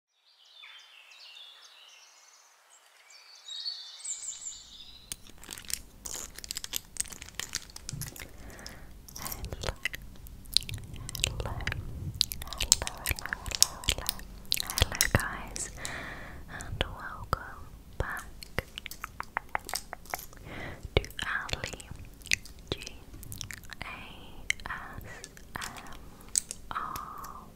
hello, hello, hello, hello guys, and welcome back to Ali um, oh,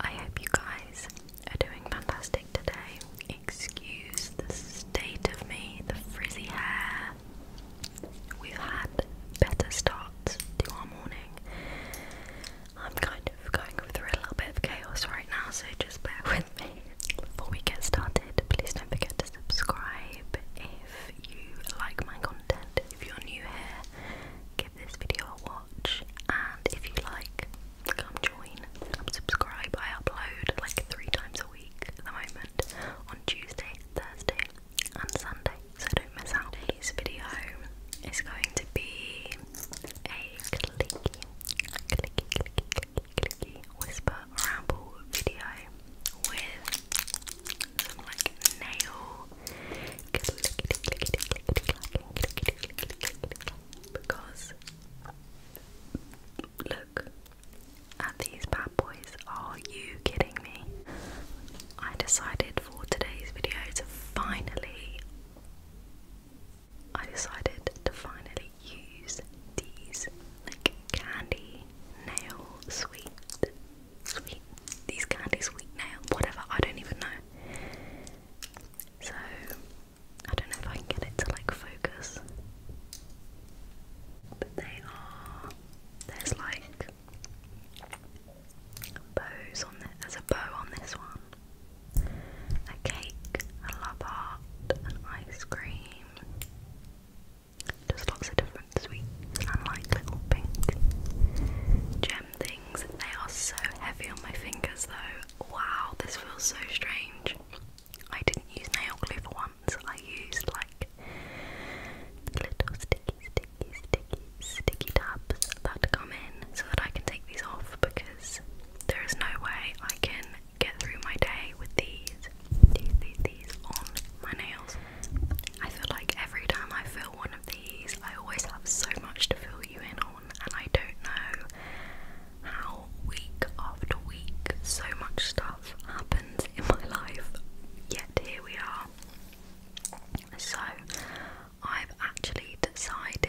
I hope you guys are doing fantastic today. Excuse the state of me, the frizzy hair. We've had better starts to our morning. I'm kind of going through a little bit of chaos right now, so just bear with me. Before we get started, please don't forget to subscribe if you like my content if you're new here, give this video a watch, and if you like, come join, subscribe. I upload like three times a week at the moment on Tuesday, Thursday, and Sunday, so don't miss out. Today's video is going to be a clicky, clicky, clicky, clicky, clicky whisper ramble video with like nail because look at these bad boys. Are you kidding me? I decided for today's video to finally I decided to finally use these like candy nail sweet sweet. These candies sweet now, whatever, I don't even know. So I don't know if I can get it to like focus. But they are there's like bows on it. There's a bow on this one. A cake, a love heart, an ice cream. Just lots of different sweet and little pink gem things. They are so heavy on my fingers though. Wow, this feels so strange. I didn't use nail glue for once. I used like little sticky, sticky, sticky, sticky tabs that come in so that I can take these off because there is no way I can get through my day with these these, these, these on my nails. I feel like every time I fill one of these, I always have so much to fill you in on, and I don't know how week after week so much stuff happens in my life, yet here we are. So, I've actually decided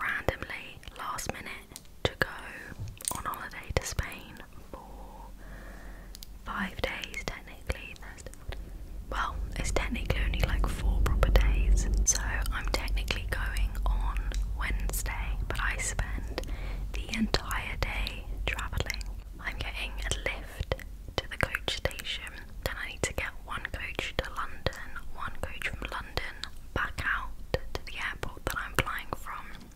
randomly last minute to go on holiday to Spain for five days technically. Thursday, well, it's technically only like four proper days. So I'm technically going on Wednesday, but I spend the entire day travelling. I'm getting a lift to the coach station, then I need to get one coach to London, one coach from London back out to the airport that I'm flying from.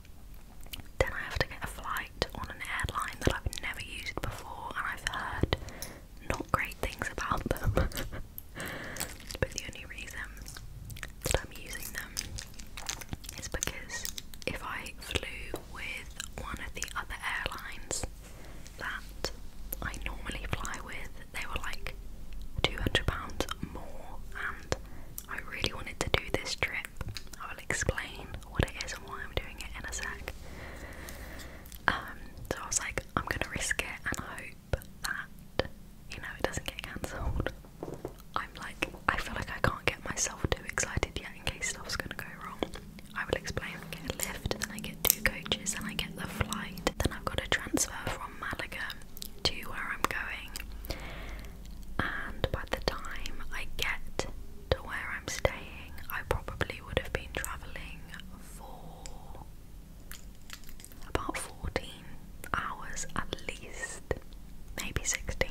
Then I have to get a flight on an airline that I've never used before and I've heard not great things about them. but the only reason that I'm using them is because if I flew with one of the other airlines that I normally fly with, they were like £200 more and I really wanted to do this trip. I will explain what it is and why I'm doing it in a sec. Um, so I was like, I'm gonna risk it and hope that, you know, it doesn't get cancelled. I'm like, I feel like I can't get myself too excited yet in case stuff's gonna go wrong. I will explain, I get a lift, then I get two coaches, then I get the flight, then I've got a transfer from Malaga to where I'm going and by the time I get to where I'm staying, I probably would have been travelling for about 14 hours at least, maybe 16.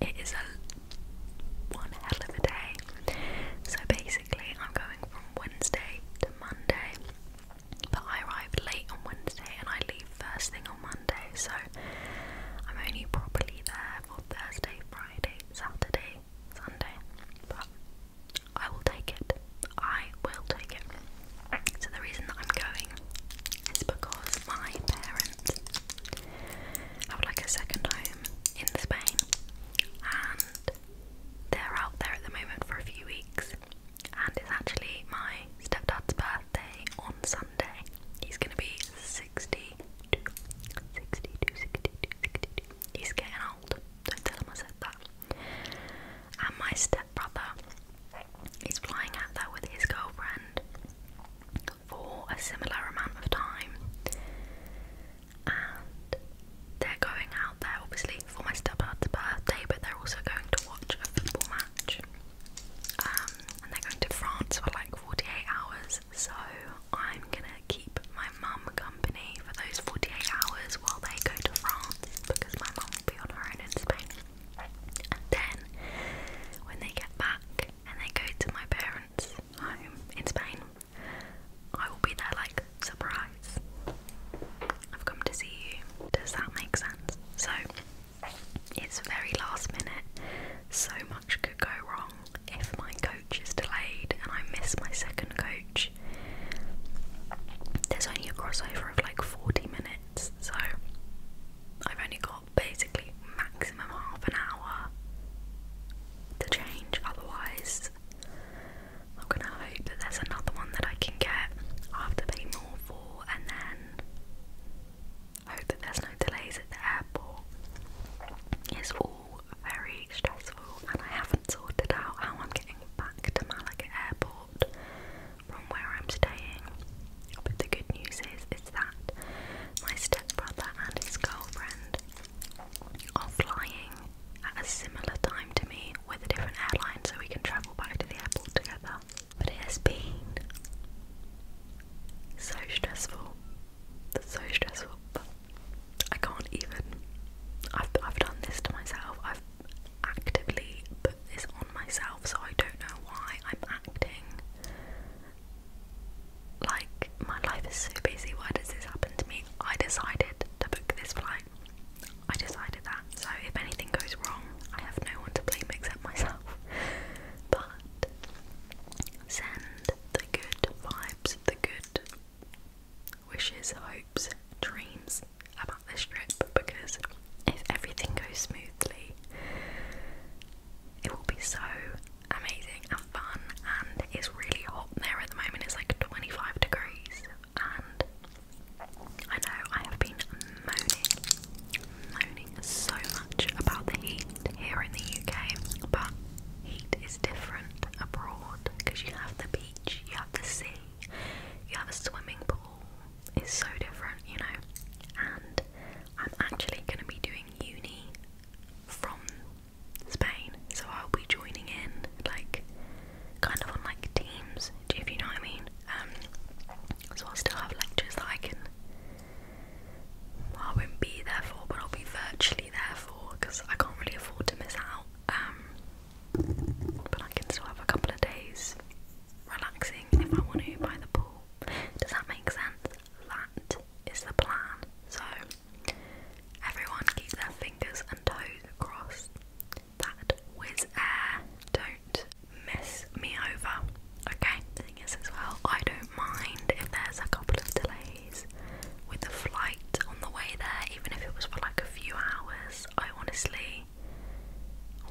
It is a one hell of a day. So basically, I'm going from Wednesday to Monday, but I arrive late on Wednesday and I leave first thing on Monday, so I'm only properly there for Thursday, Friday, Saturday, Sunday. But I will take it. I will take it. So the reason that I'm going is because my parents have like a second home in Spain and they're out there at the moment for a few weeks and it's actually my stepdad's birthday on Sunday. He's gonna be 62, 62, 62, 62. He's getting old. Don't tell him I said that. And my stepbrother is flying out there with his girlfriend for a similar amount of time. And they're going out there, obviously, for my stepbrother's birthday, but they're also going to watch a football match. Um, and they're going to France for like 48 hours, so I'm gonna keep my mum company for those 48 hours while they go to France because my mum will be on her own in Spain. then when they get back and they go to my parents' home in Spain, I will be there like surprise. I've come to see you. Does that make sense? So it's very last minute. So much could go wrong if my coach is delayed and I miss my second coach. There's only a crossover of like 40 minutes, so I've only got basically maximum half an hour to change. Otherwise, I'm gonna hope that there's another one that I can get. I have to pay more for, and then hope that there's no delays at the airport. It's all very stressful, and I haven't sorted out how I'm getting back to Malaga Airport from where I'm staying. But the good news is, is that my stepbrother and his girlfriend are flying at a similar time to me with a different airline, so we can travel back to the airport together. But it has been so stressful. So stressful. I can't even. I've, I've done this to myself. I've actively put this on myself, so I don't know why I'm acting like my life is so busy. Why does this happen to me? I decided to book this flight. I decided that. So if anything goes wrong, I have no one to blame except myself. But send the good vibes, the good wishes, hopes, dreams about this trip because if everything goes smoothly, it will be so amazing and fun. And it's really hot there at the moment, it's like 25 degrees. And I know I have been moaning, moaning so much about the heat here in the UK, but heat is different abroad because you have the beach, you have the sea, you have a swimming pool. It's so different, you know. And I'm actually going to be doing uni from Spain, so I'll be joining in like kind of on like teams, if you know what I mean. Um, so I'll still have lectures that I can. I won't be there for, but I'll be virtually there for because I can't really afford to miss out. Um, but I can still have a couple of days relaxing if I want to by the pool. Does that make sense? That is the plan. So everyone keeps their fingers and toes crossed that Wizz Air don't mess me over. Okay, the thing is, as well, I don't mind if there's a couple of delays with the flight on the way there, even if it was for like a few hours. I honestly,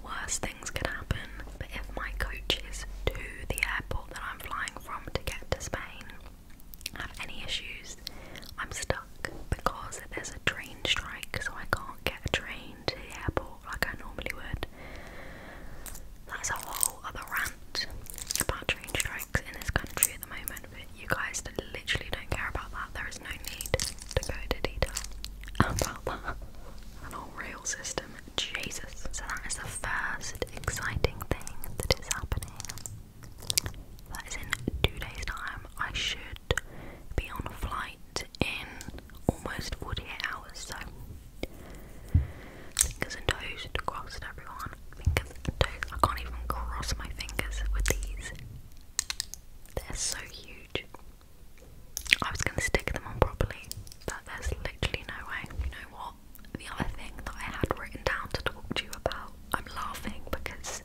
worst things can happen. But if my coaches is to the airport that I'm flying from to get to Spain, have any issues, I'm stuck because there's a train strike, so I can't get a train to the airport like I normally would. That's a whole other rant about train strikes in this country at the moment, but you guys literally don't care about that. There is no need to go into detail about that. An whole rail system, Jesus. So that is the first exciting thing that is happening. That is in two days' time. I should be on a flight in almost 48 hours, so fingers and toes crossed everyone. Fingers and toes. I can't even cross my fingers with these. They're so huge. I was gonna stick them on properly, but there's literally no way. You know what? The other thing that I had written down to talk to you about, I'm laughing because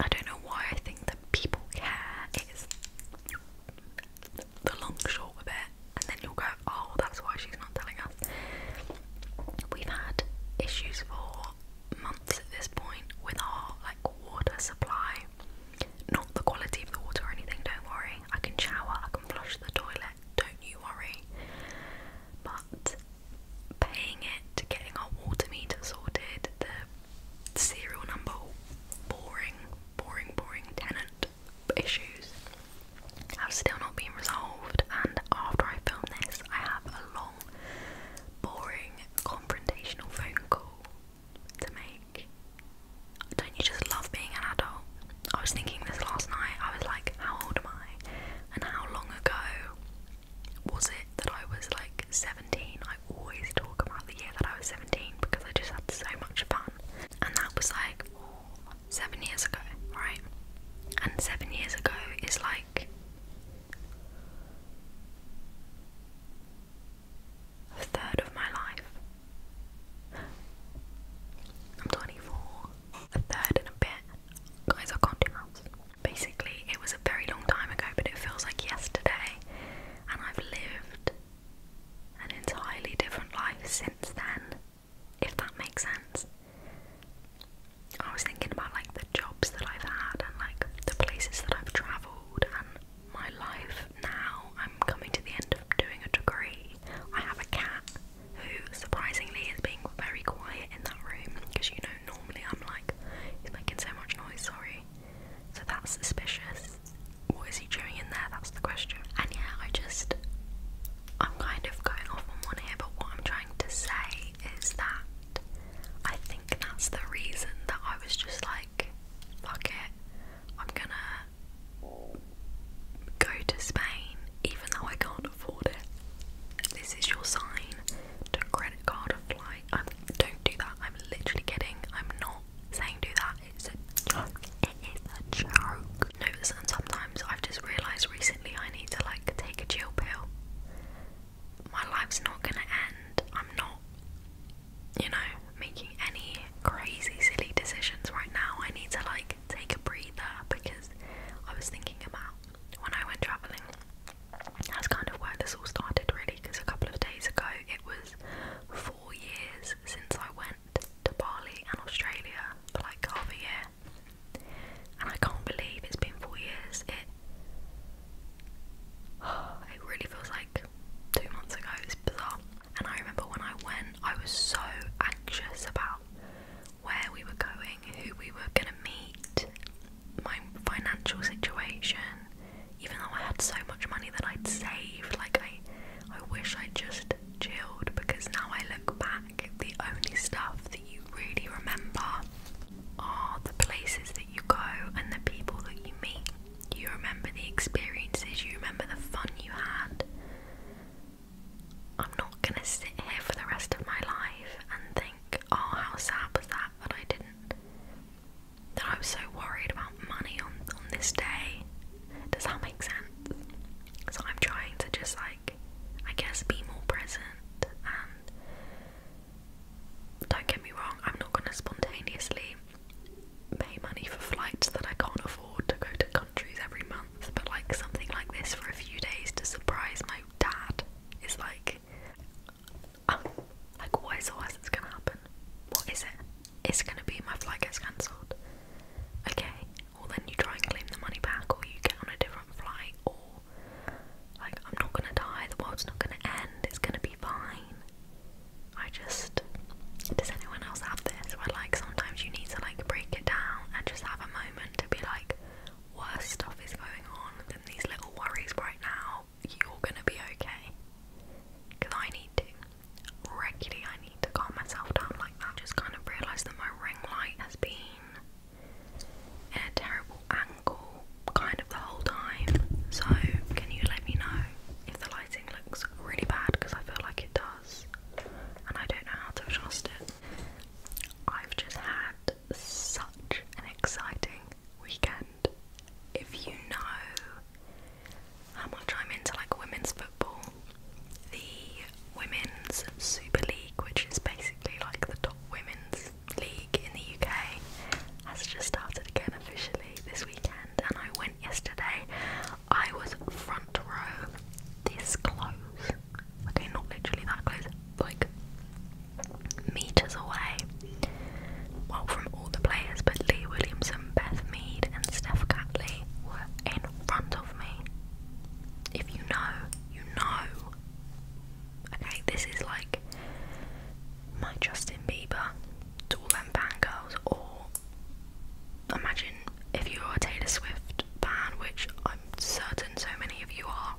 I don't know why I think that people care. It's the long short of it, and then you'll go, oh, that's why she's not telling us. We've had issues for months at this point with our like water supply. Not the quality of the water or anything, don't worry. I can shower, I can flush the toilet, don't you worry. But paying it, to getting our water meter sorted, serial number boring, boring, boring tenant issues have still not been resolved. And after I film this, I have a long, boring, confrontational phone call to make. Don't you just love being an adult? I was thinking this last night. I was like, how old am I? And how long ago was it that I was like 17? I always talk about the year that I was 17 because I just had so much fun. And that was like seven years ago, right? And seven years ago is like 3 third of my life. I'm 24. A third and a bit. Guys, I can't do maths. Basically, it was a very long time ago, but it feels like yesterday, and I've lived an entirely different life since then, if that makes sense. I was thinking about like the jobs that I've had and like the places that I've travelled and my life now. I'm coming to the end of doing a degree. I have a cat who surprisingly is being very quiet in that room because you know normally I'm like, he's making so much noise, sorry. So that's suspicious. What is he doing in there? That's the question. And yeah, I just, I'm kind of going off on one here, but what I'm trying to say is that I think that's the reason that I was just like, fuck it, I'm gonna go to Spain even though I can't afford it. This is your sign to credit card a flight. Don't do that. I'm literally kidding. I'm not saying do that. It's a joke. It is a joke. No, listen, sometimes I've just realised recently I need to like take a chill pill. My life's not gonna end. I'm not, you know, making any crazy silly decisions right now. I need to like take a breather because I was thinking about when I went travelling that's kind of where this all started, really, because a couple of days ago it was four years since I went to Bali and Australia for like half a year, and I can't believe it's been four years. It it really feels like two months ago. It's bizarre. And I remember when I went, I was so anxious about where we were going, who we were gonna meet, my financial situation, even though I had so much money that I'd saved, like I I wish I just chilled because now I look back, the only stuff that you really remember are the places that you go and the people that you meet. You remember the experiences, you remember the fun you had. I'm not gonna sit here for the rest of my life and think, oh, how sad was that But I didn't that I was so worried about money on, on this day. Does that make sense? So I'm trying to just like, I guess, be more present and don't get me wrong, I'm not going to spontaneously pay money for flights that I can't afford to go to countries every month, but like something like this for a few days to surprise my dad is like um, like, what is the gonna happen? What is it? It's gonna be my flight gets cancelled. Okay, Or then you try and claim the money back, or you get on a different flight, or like, I'm not gonna die, the world's not gonna end, it's gonna be fine. I just. Does anyone else have this where, like, sometimes you need to, like, break it down and just have a moment to be like, worse stuff is going on than these little worries right now, you're gonna be okay. Because I need to. Regularly, I need to calm myself down like that. Just kind of realise that my ring light has been in a terrible angle kind of the whole time. So, can you let me know if the lighting looks really bad? Because I feel like it does, and I don't know how to adjust it. I've just had such an exciting weekend. If you know how much I'm into like women's football, the Women's Super League, which is basically like the top women's league in the UK, has just started again officially this weekend. And I went yesterday. I was front row this close okay, not literally that close, like meters away. Well, from all the players, but Lee Williams and Beth Mead, and Steph Catley were in front of me. If you know, you know. Okay, this is like my Justin Bieber all them girls. or imagine if you're a Taylor Swift fan, which I'm certain so many of you are,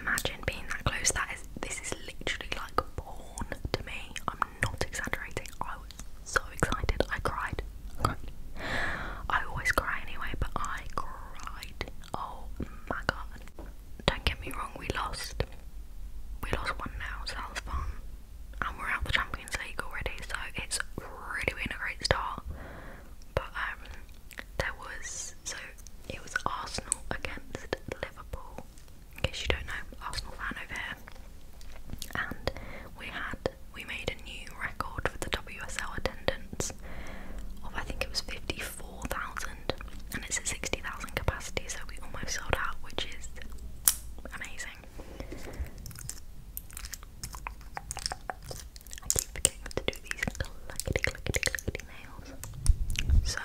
Imagine being that close. That is, this is literally like porn to me. I'm not exaggerating. I was so excited. I cried. I always cry anyway, but I cried. Oh my god. Don't get me wrong, we lost. We lost one now, so And we're out the Champions League already, so it's really been a great start. But um, there was so it was Arsenal against Liverpool. In case you don't know, Arsenal fan over here. And we had we made a new record for the WSL attendance of I think it was fifty four thousand, and it's at sixty thousand capacity, so we almost sold out, which is amazing. I keep forgetting to do these clackety clackety clackety nails. So,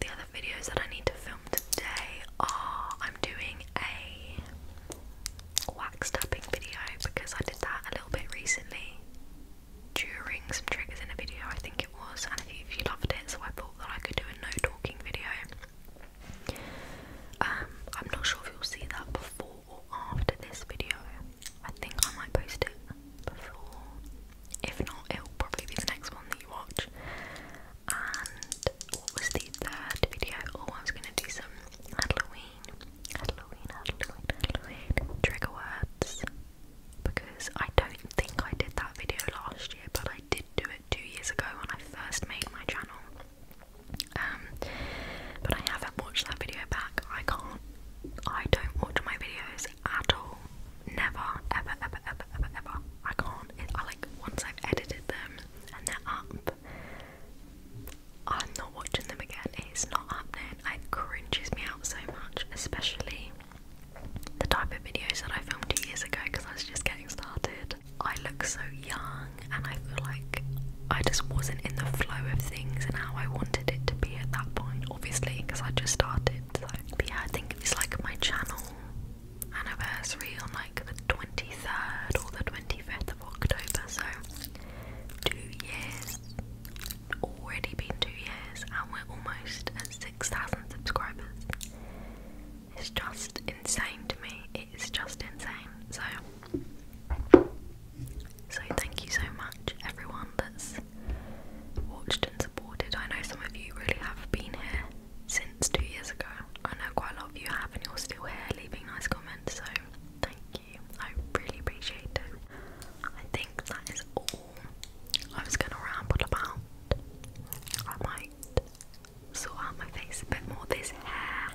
the other videos that I need to film today are I'm doing a wax tapping video because I did that a little bit recently during some triggers in a video, I think it was, and if you loved it, so I thought that I could do a no talking video. Um, I'm not sure if you'll see that before or after this video. I think I might post it before. If not, it'll probably be the next one that you watch. And what was the third video? Oh, I was gonna do some Halloween, Halloween, Halloween, Halloween trigger words because I don't think I did that video last year, but I did do it two years ago when I first made my channel. Um, but I haven't watched that video back. I can't. I don't watch my videos at all. Never, ever, ever, ever, ever, I can't. I like once I've edited them and they're up. I'm not watching them again. It's not happening. It cringes me out so much, especially the type of videos that I filmed two years ago because I was just getting started. I look so young and I feel like I just wasn't in the flow of things and how I wanted it to be at that point, obviously, because I just started. So. yeah, I think it's like my channel anniversary on like the 23rd or the 25th of October, so two years. Already been two years, and we're almost at 6,000 subscribers. It's just insane to me. It's just insane. So, so thank you so much everyone that's watched and supported. I know some of you really have been here since two years ago. I know quite a lot of you have and you're still here leaving nice comments, so thank you. I really appreciate it. I think that is all I was gonna ramble about. I might sort out my face a bit more. This hair